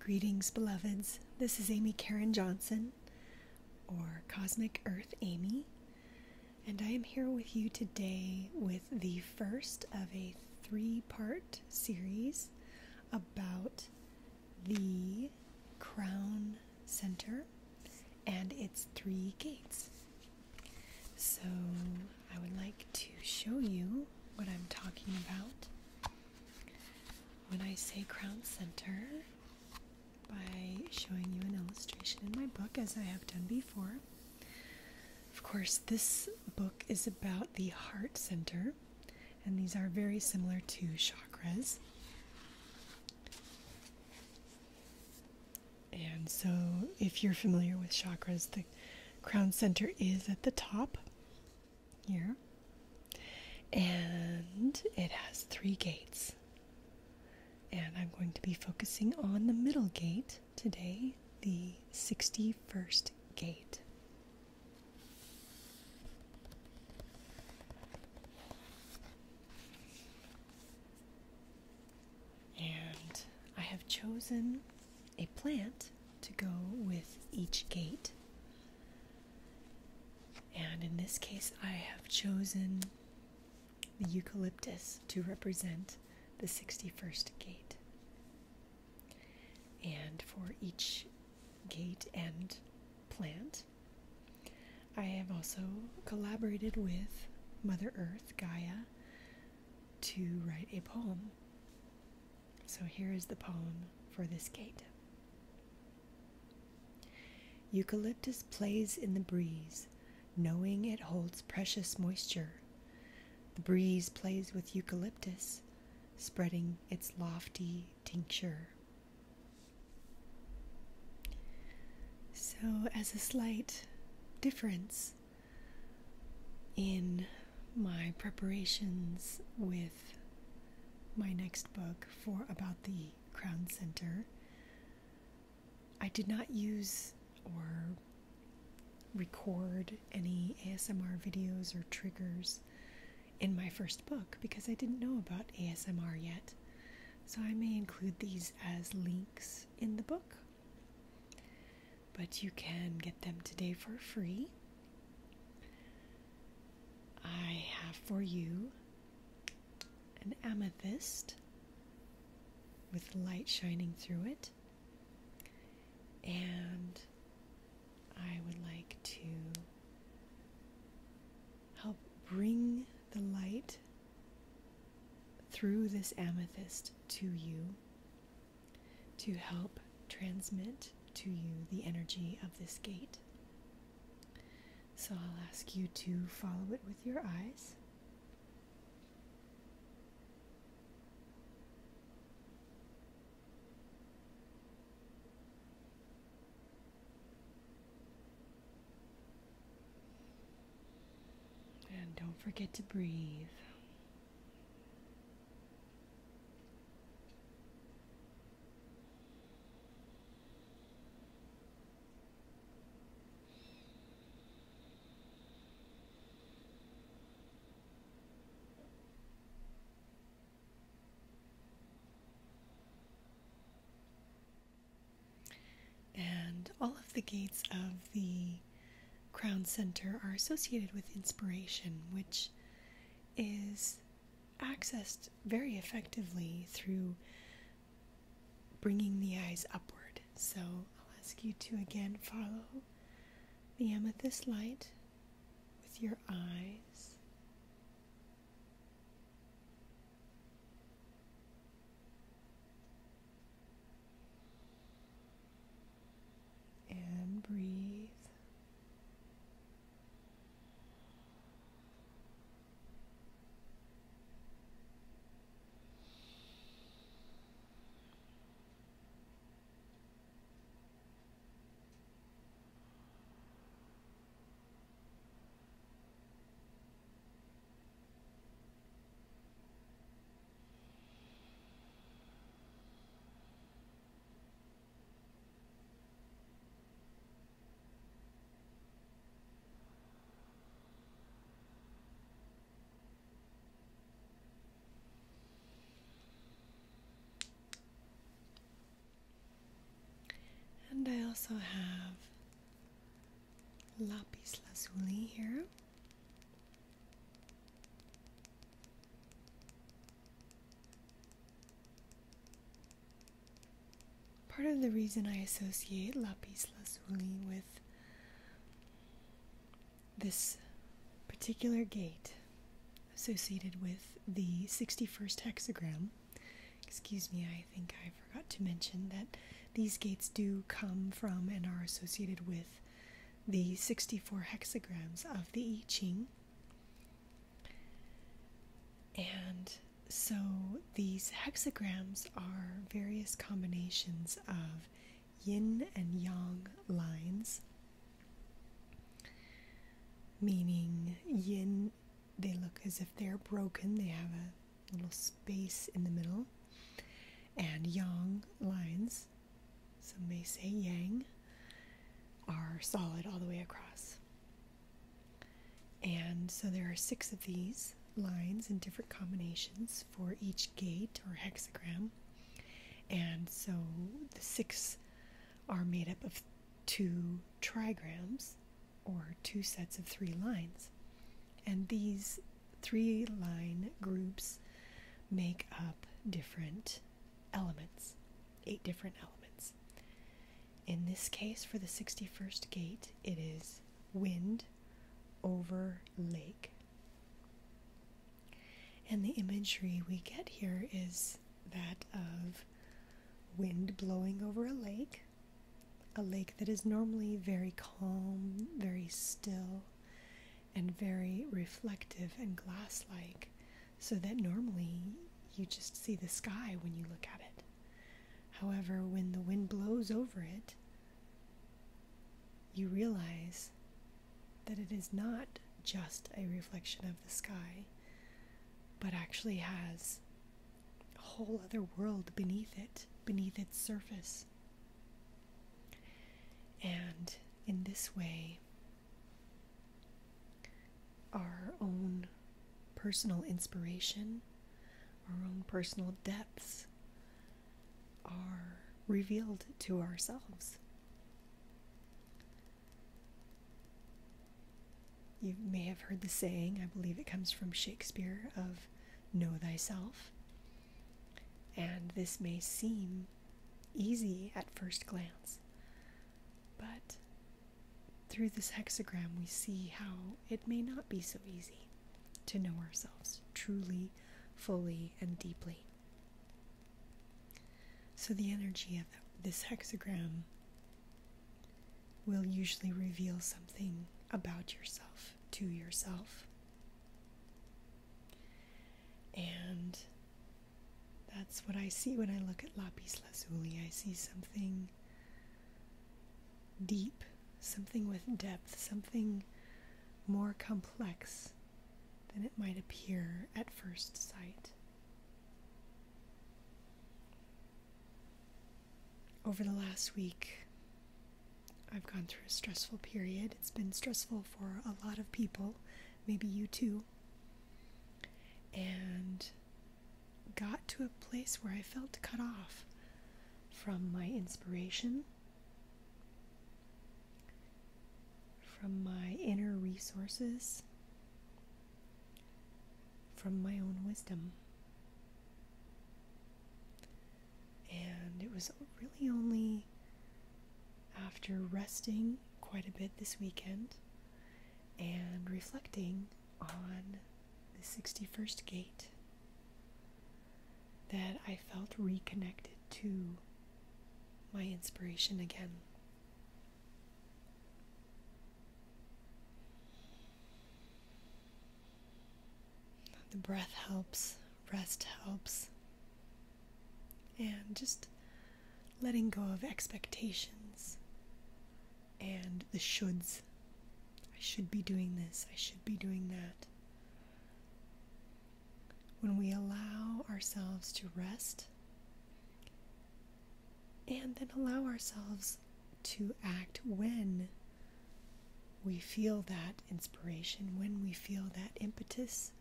Greetings, beloveds. This is Amy Karen Johnson, or Cosmic Earth Amy, and I am here with you today with the first of a three part series about the Crown Center and its three gates. So, I would like to show you what I'm talking about when I say Crown Center by showing you an illustration in my book, as I have done before. Of course, this book is about the heart center, and these are very similar to chakras. And so, if you're familiar with chakras, the crown center is at the top here, and it has three gates. And I'm going to be focusing on the middle gate today, the 61st gate. And I have chosen a plant to go with each gate. And in this case, I have chosen the eucalyptus to represent the 61st gate. And for each gate and plant, I have also collaborated with Mother Earth, Gaia, to write a poem. So here is the poem for this gate. Eucalyptus plays in the breeze, knowing it holds precious moisture. The breeze plays with eucalyptus, spreading its lofty tincture. So, as a slight difference, in my preparations with my next book for about the Crown Center. I did not use or record any ASMR videos or triggers in my first book because I didn't know about ASMR yet. So I may include these as links in the book but you can get them today for free. I have for you an amethyst with light shining through it, and I would like to help bring the light through this amethyst to you to help transmit to you the energy of this gate. So I'll ask you to follow it with your eyes. And don't forget to breathe. And all of the gates of the Crown Center are associated with inspiration, which is accessed very effectively through bringing the eyes upward. So I'll ask you to again follow the amethyst light with your eyes and breathe. And I also have lapis lazuli here. Part of the reason I associate lapis lazuli with this particular gate associated with the 61st hexagram. Excuse me, I think I forgot to mention that these gates do come from and are associated with the 64 hexagrams of the I Ching. And so these hexagrams are various combinations of yin and yang lines, meaning yin, they look as if they're broken, they have a little space in the middle, and yang lines some may say yang, are solid all the way across. And so there are six of these lines in different combinations for each gate or hexagram. And so the six are made up of two trigrams or two sets of three lines. And these three line groups make up different elements, eight different elements. In this case, for the 61st gate, it is wind over lake. And the imagery we get here is that of wind blowing over a lake, a lake that is normally very calm, very still, and very reflective and glass like, so that normally you just see the sky when you look at it. However, when the wind blows over it, you realize that it is not just a reflection of the sky, but actually has a whole other world beneath it, beneath its surface. And in this way, our own personal inspiration, our own personal depths are revealed to ourselves. You may have heard the saying, I believe it comes from Shakespeare, of know thyself. And this may seem easy at first glance, but through this hexagram, we see how it may not be so easy to know ourselves truly, fully, and deeply. So, the energy of this hexagram will usually reveal something about yourself to yourself. And that's what I see when I look at lapis lazuli. I see something deep, something with depth, something more complex than it might appear at first sight. Over the last week, I've gone through a stressful period. It's been stressful for a lot of people maybe you too. And got to a place where I felt cut off from my inspiration, from my inner resources, from my own wisdom. And it was really only after resting quite a bit this weekend and reflecting on the 61st gate that I felt reconnected to my inspiration again. The breath helps rest helps. And just letting go of expectations and the shoulds. I should be doing this, I should be doing that. When we allow ourselves to rest and then allow ourselves to act when we feel that inspiration, when we feel that impetus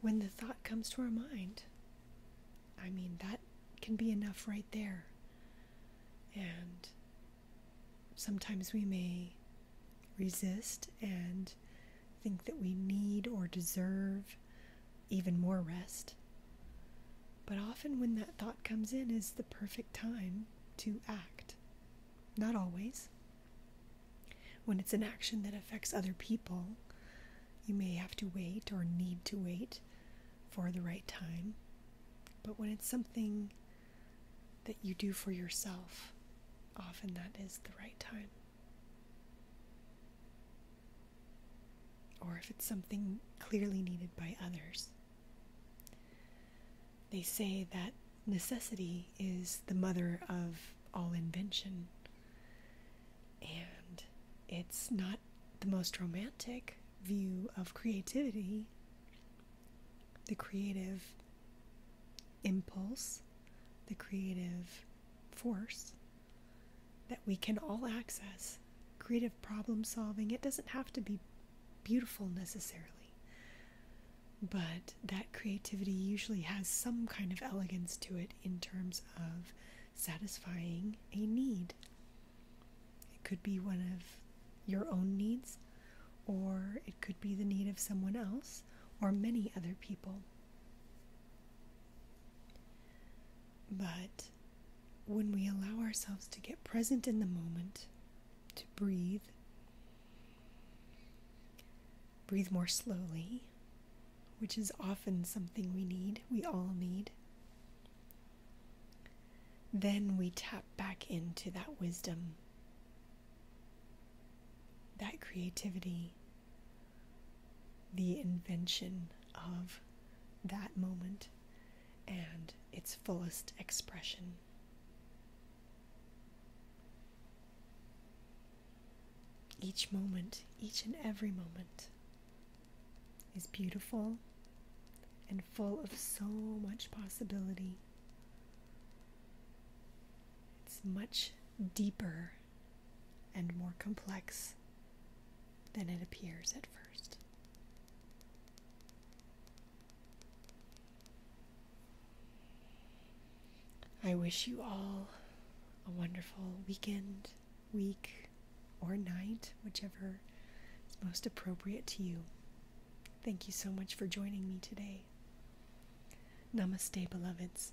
when the thought comes to our mind. I mean, that can be enough right there. And sometimes we may resist and think that we need or deserve even more rest. But often, when that thought comes in, is the perfect time to act. Not always, when it's an action that affects other people, you may have to wait or need to wait for the right time. But when it's something that you do for yourself, often that is the right time. Or if it's something clearly needed by others. They say that necessity is the mother of all invention. And it's not the most romantic view of creativity, the creative impulse, the creative force that we can all access. Creative problem solving, it doesn't have to be beautiful necessarily. But that creativity usually has some kind of elegance to it in terms of satisfying a need. It could be one of your own needs, or it could be the need of someone else or many other people. But when we allow ourselves to get present in the moment, to breathe, Breathe more slowly, which is often something we need, we all need. Then we tap back into that wisdom, that creativity, the invention of that moment and its fullest expression. Each moment, each and every moment, is beautiful and full of so much possibility. It's much deeper and more complex than it appears at first. I wish you all a wonderful weekend, week, or night, whichever is most appropriate to you. Thank you so much for joining me today. Namaste, beloveds.